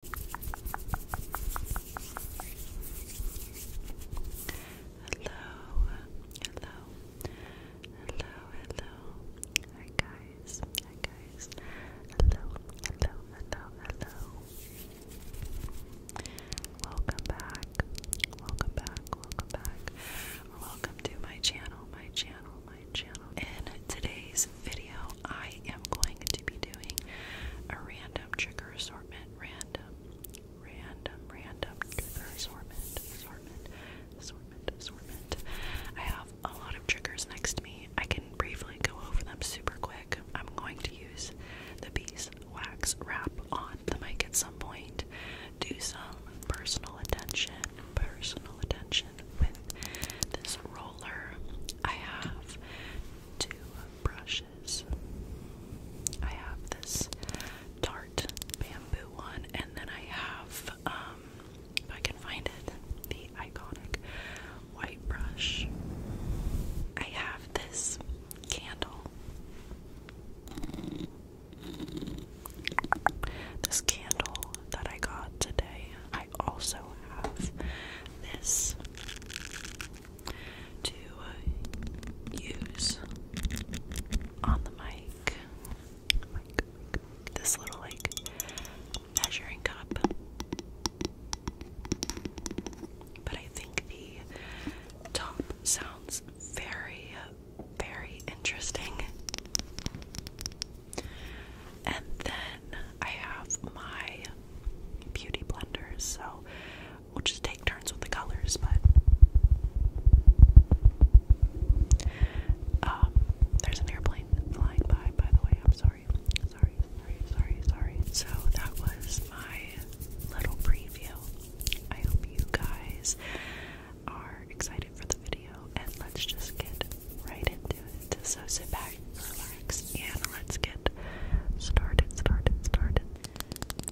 Hello, hello, hello, hello. Hi guys, hi guys. Hello, hello, hello, hello. Welcome back, welcome back, welcome back. Welcome to my channel, my channel, my channel. And today's video, I am going to be doing a random trigger assortment. Random, random, random trigger assortment, assortment, assortment, assortment. I have a lot of triggers next to me. I can briefly go over them super quick. I'm going to use the bees wax wrap on the mic at some point. Do some personal attention, personal attention with this roller. I have two brushes. I have this Tarte bamboo one, and then I have, um, if I can find it, the iconic white brush. I have this candle. This candle that I got today. I also have this to uh, use on the mic. This little like measuring cup. But I think the top sounds very, very interesting. And then I have my beauty blenders, so we'll just take turns with the colors, but um, there's an airplane flying by, by the way. I'm sorry, sorry, sorry, sorry, sorry. So that was my little preview. I hope you guys are excited for the video, and let's just get right into so sit back, relax, and let's get started, started, started.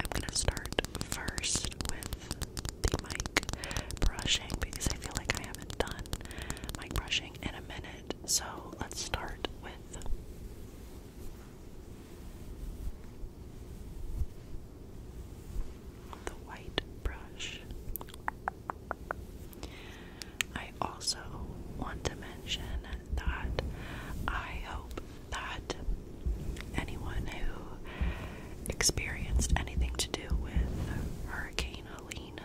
I'm gonna start first with the mic brushing because I feel like I haven't done mic brushing in a minute. So let's start with. The white brush. I also want to mention that I hope that anyone who experienced anything to do with Hurricane Helene,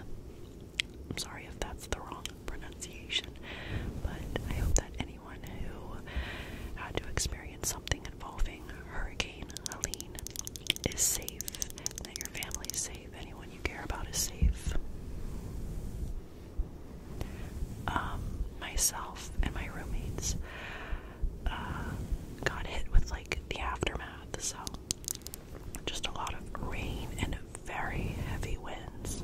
I'm sorry if that's the wrong pronunciation, but I hope that anyone who had to experience something involving Hurricane Helene is safe, that your family is safe. Anyone you care about is safe. Um, myself and my roommates uh, got hit with like the aftermath, so just a lot of rain and very heavy winds.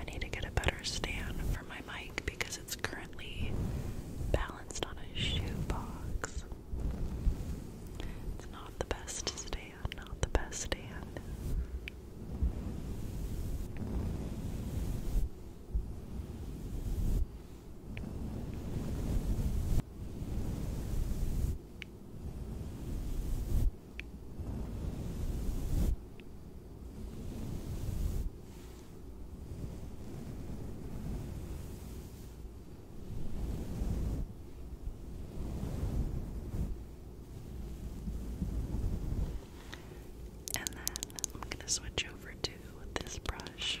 I need to get a better stand for my mic because it's currently balanced on a shoebox. It's not the best stand, not the best stand. And then I'm going to switch over to this brush.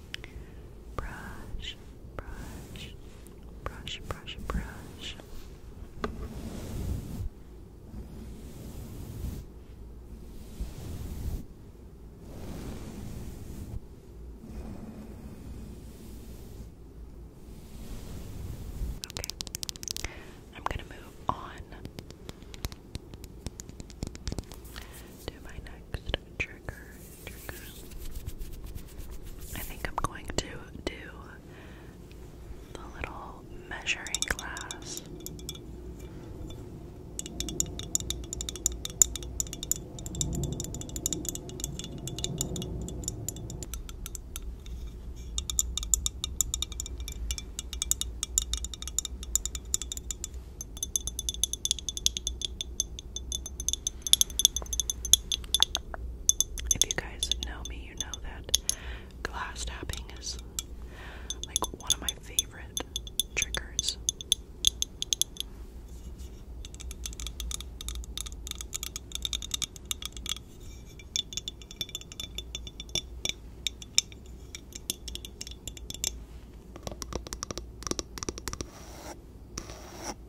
brush, brush, brush, brush, brush. Okay, I'm going to move on to my next trigger. I think I'm going to do the little measuring glass. If you guys know me, you know that glass tapping is like one of my favorite triggers.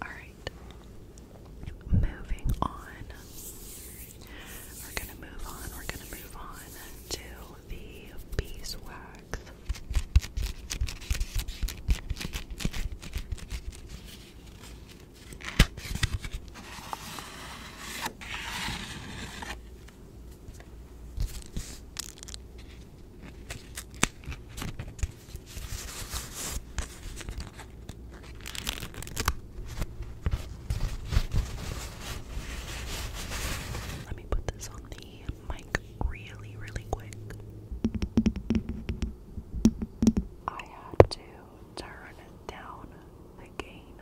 All right, moving on. We're going to move on, we're going to move on to the beeswax. Let me put this on the mic really, really quick. I had to turn down the gain.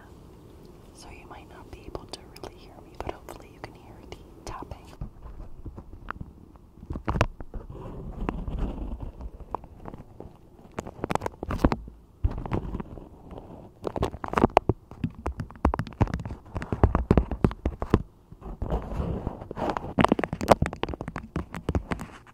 So you might not be able to really hear me, but hopefully you can hear the tapping.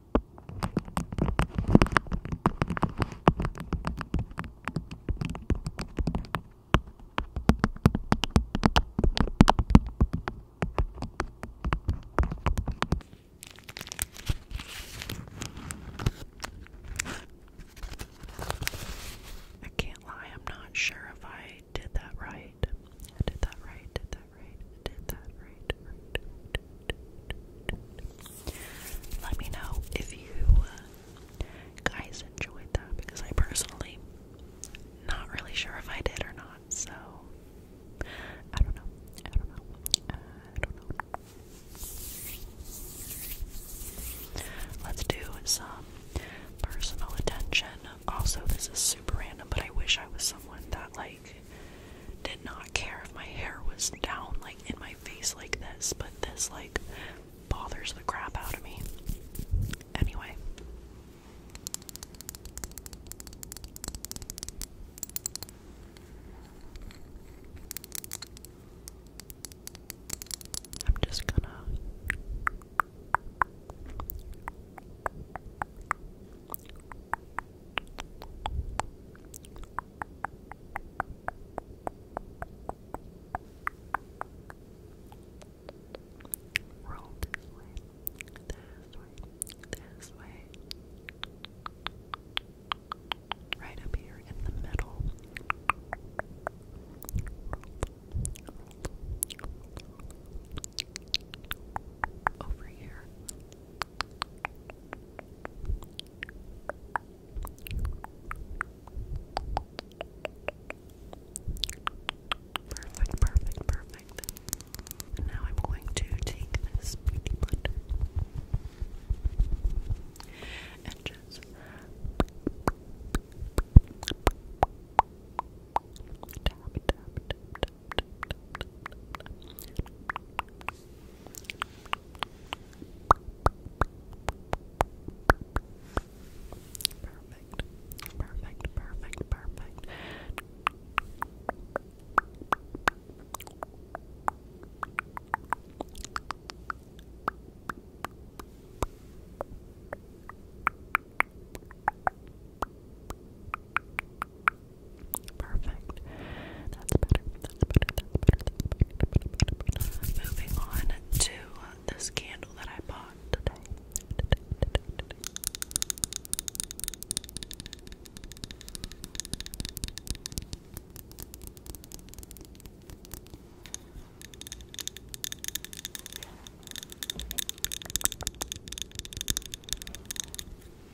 I can't lie, I'm not sure if I did that right. did that right, let me know if you uh, guys enjoyed that because I personally not really sure if I did or not. So I don't know. I don't know. I don't know. Let's do some personal attention. Also, this is super random, but I wish I was someone that like like did not care if my hair was down like in my face like this, but this like bothers the crap out of me. Anyway. I'm just gonna Roll this this way, this way. Right up here in the middle. Over here. Perfect, perfect, perfect. And now I'm going to take this beauty blender and just tap, tap, tap, tap, Perfect. Perfect. Perfect. Perfect. Perfect. Perfect. That's better. That's better. That's better. That's better. Moving on to this candle that I bought today.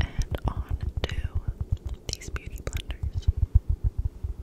And on to these beauty blenders.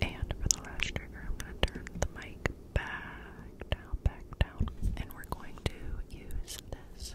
And for the last trigger, I'm going to turn the mic back down, back down, and we're going to use this.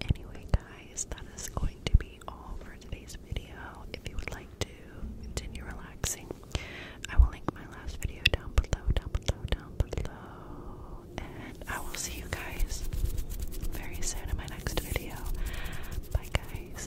Anyway, guys, that is going to be all for today's video. If you would like to continue relaxing, I will link my last video down below, down below, down below. And I will see you guys very soon in my next video. Bye, guys.